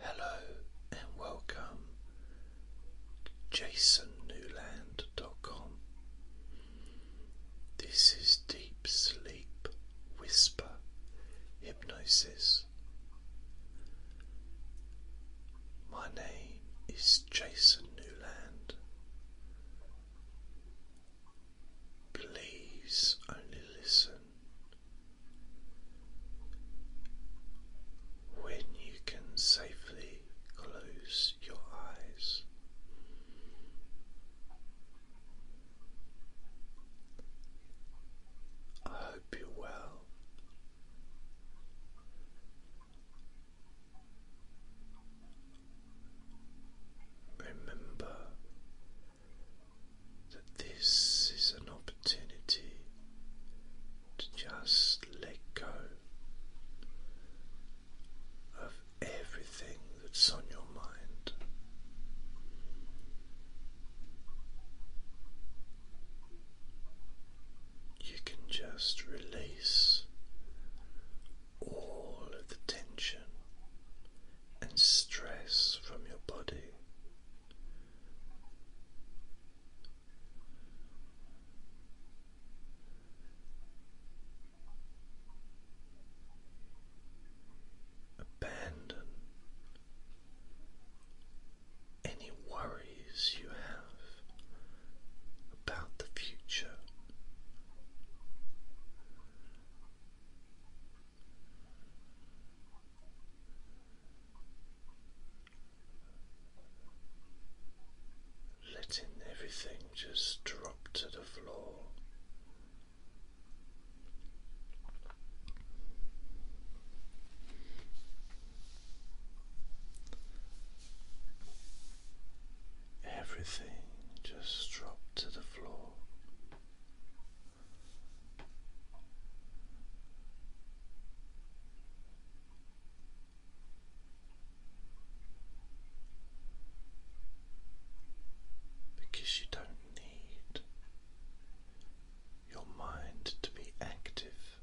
Hello and welcome. Jasonnewland.com. This is Deep Sleep Whisper Hypnosis. My name is Jason Newland. Please only listen when you can safely close your eyes, I hope you're well. Remember that this is an opportunity to just let go of everything that's on your mind. You can just release all of the tension and stress from your body Abandon any worries you have about the future letting everything just drop to the floor. Everything just dropped to the floor. Because you don't need your mind to be active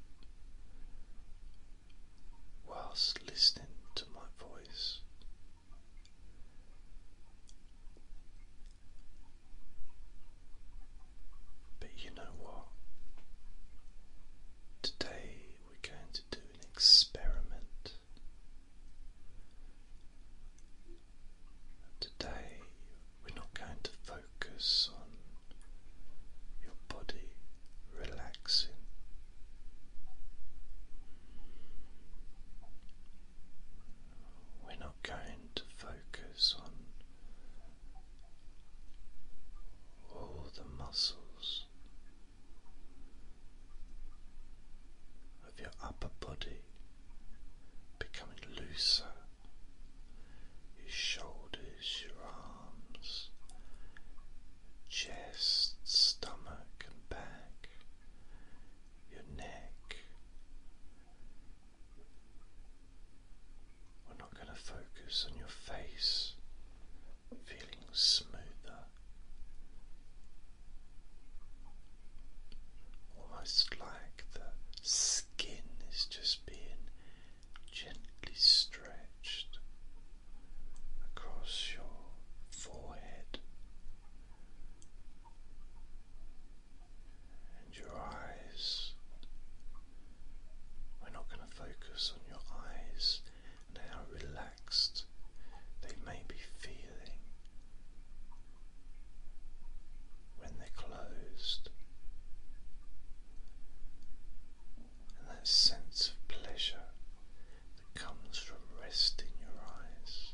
whilst listening to my voice. But you know what? Today we're going to do an experiment. Today we're not going to focus on your body relaxing. We're not going to focus on all the muscles of your upper body becoming looser. Your shoulders, your arms, chest, stomach, and back, your neck, we're not going to focus on your face feeling smoother, almost like the skin is just being gently stretched across your forehead and your eyes. We're not going to focus on your eyes and how relaxed they may be feeling when they're closed. And that sense of pleasure that comes from rest in your eyes.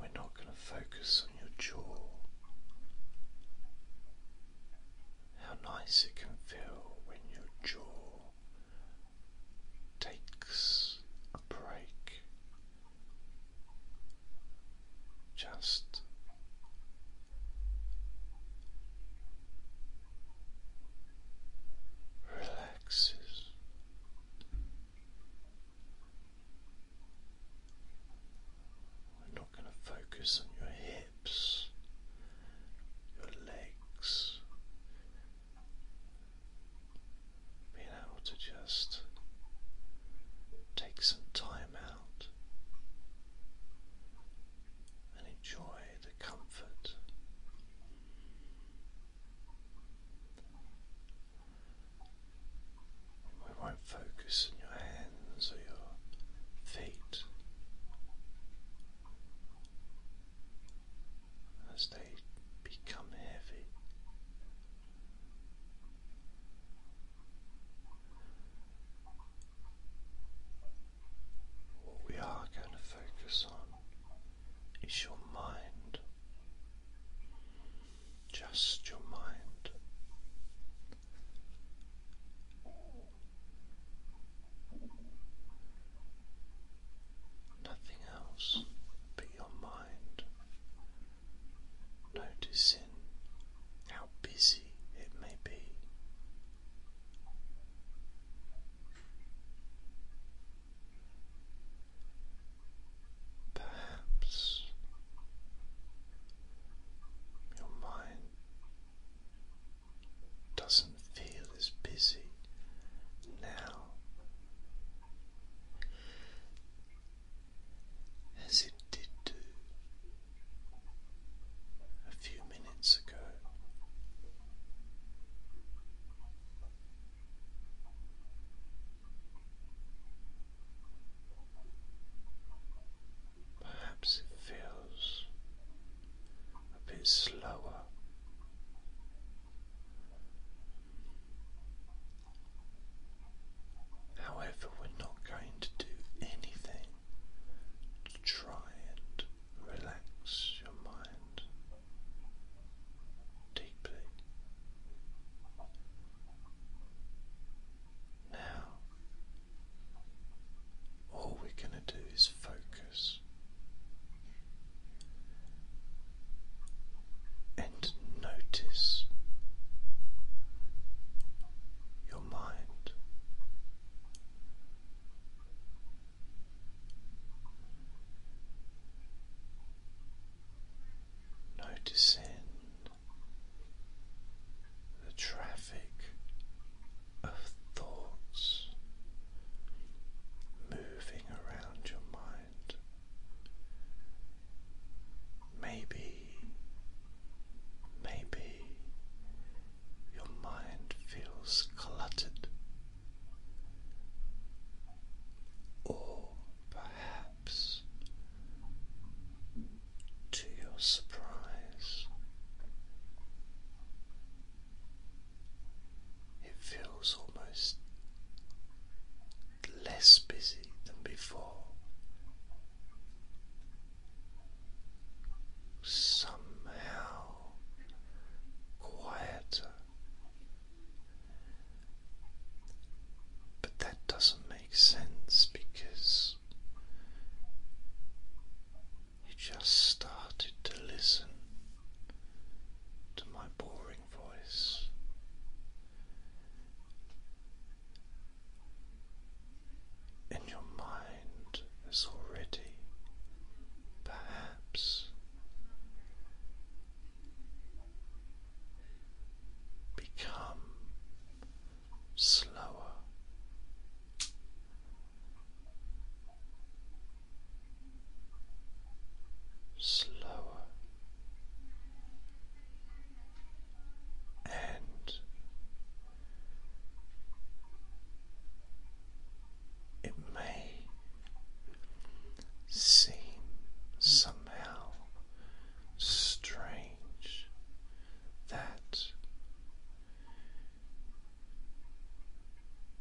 We're not going to focus on your jaw. How nice it can feel when your jaw takes a break. Just relaxes. We're not going to focus on your hips, your legs, being able to just take some time out and enjoy the comfort we won't focus on your hands or your feet as they become heavy. What we are going to focus on is your mind, just your mind. Nothing else but your mind. Noticing how busy it may be. Perhaps your mind doesn't feel as busy now as it did do a few minutes ago. Perhaps it feels a bit slower. However, we're not going to do anything to try and relax your mind deeply. Now, all we're going to do is focus and notice your mind. Noticing the traffic of thoughts moving around your mind. Maybe, maybe your mind feels cluttered or perhaps to your surprise, it feels almost less busy than before. Somehow quieter but that doesn't make sense because you just started to listen to my boring voice. And your mind has already perhaps become slower. Slower and it may seem somehow strange that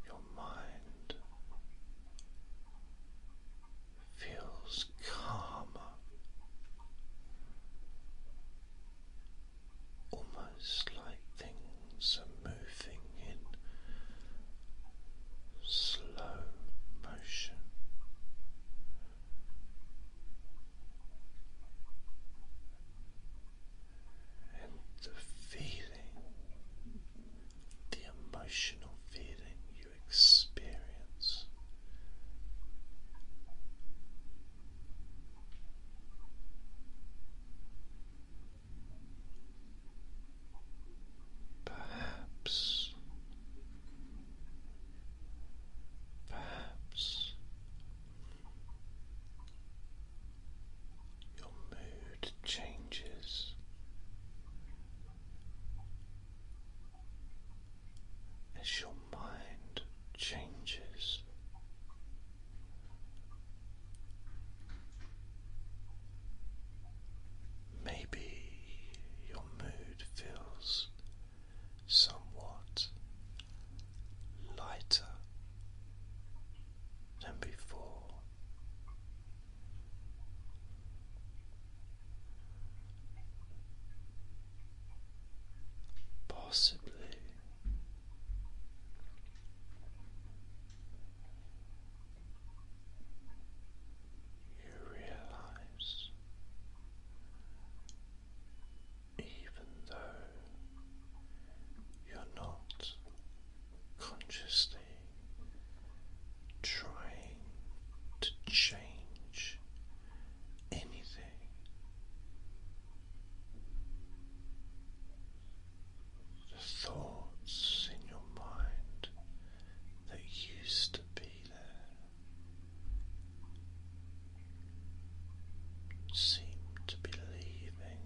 your mind feels calmer, almost like things are moving in slow motion. And the feeling, the emotional feeling you experience Perhaps, perhaps your mood changes. As your mind changes, Maybe your mood feels somewhat lighter than before. Possibly you realize, even though you're not consciously trying to change anything. The thoughts in your mind that used to be seem to be leaving,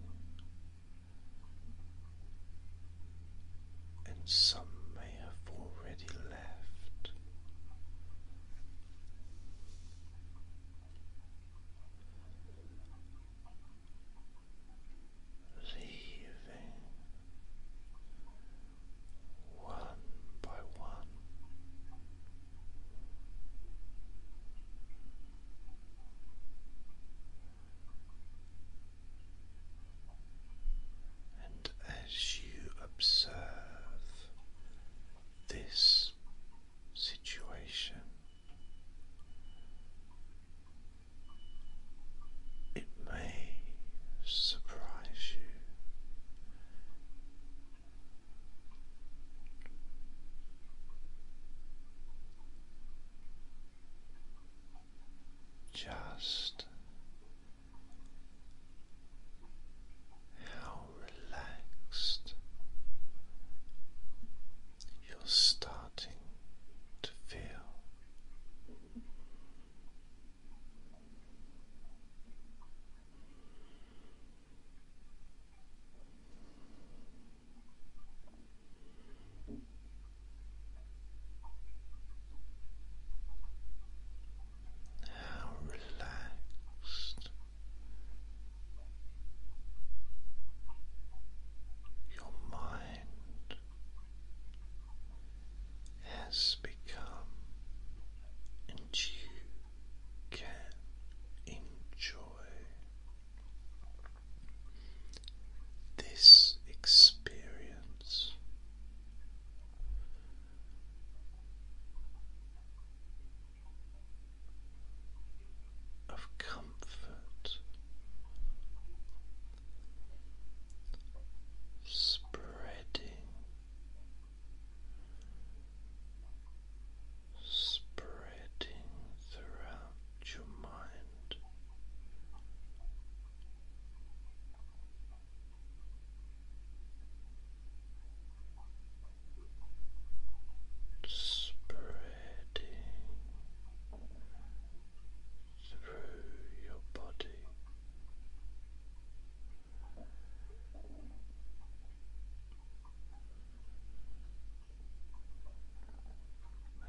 and some may have already left. Leaving one by one. And as you observe this situation, it may surprise you. Just how relaxed you're starting to feel. How relaxed your mind has become, and you can enjoy this experience. Of comfort spreading, spreading throughout your mind. Spreading, through your body.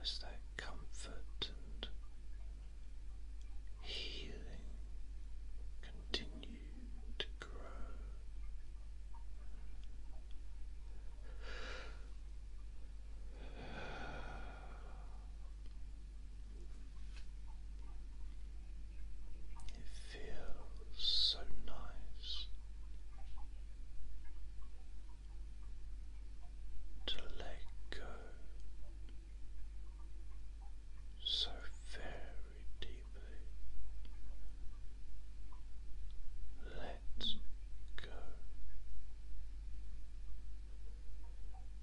As that comfort and healing continue to grow. It feels so nice to let go so very deeply. Let go.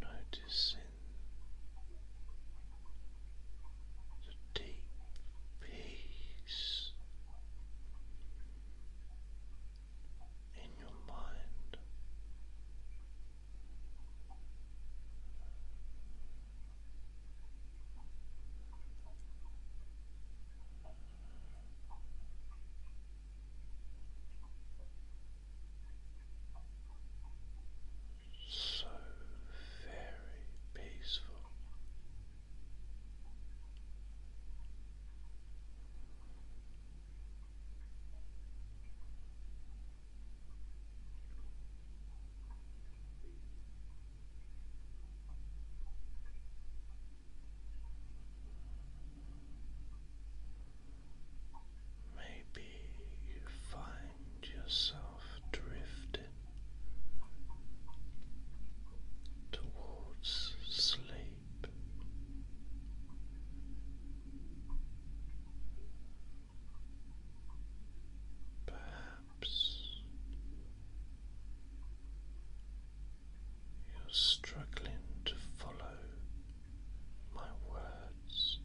Noticing the deep peace in your mind so very peaceful. Maybe you find yourself drifting towards sleep. Perhaps you're struggling to follow my words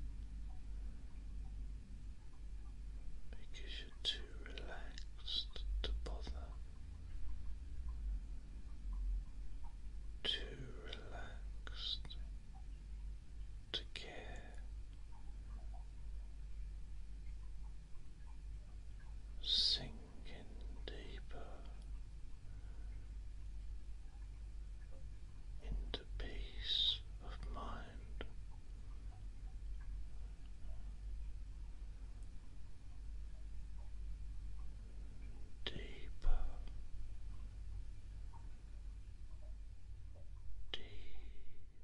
because you're too relaxed to bother, too relaxed to care. Sink into peace of mind. Deeper, deeper.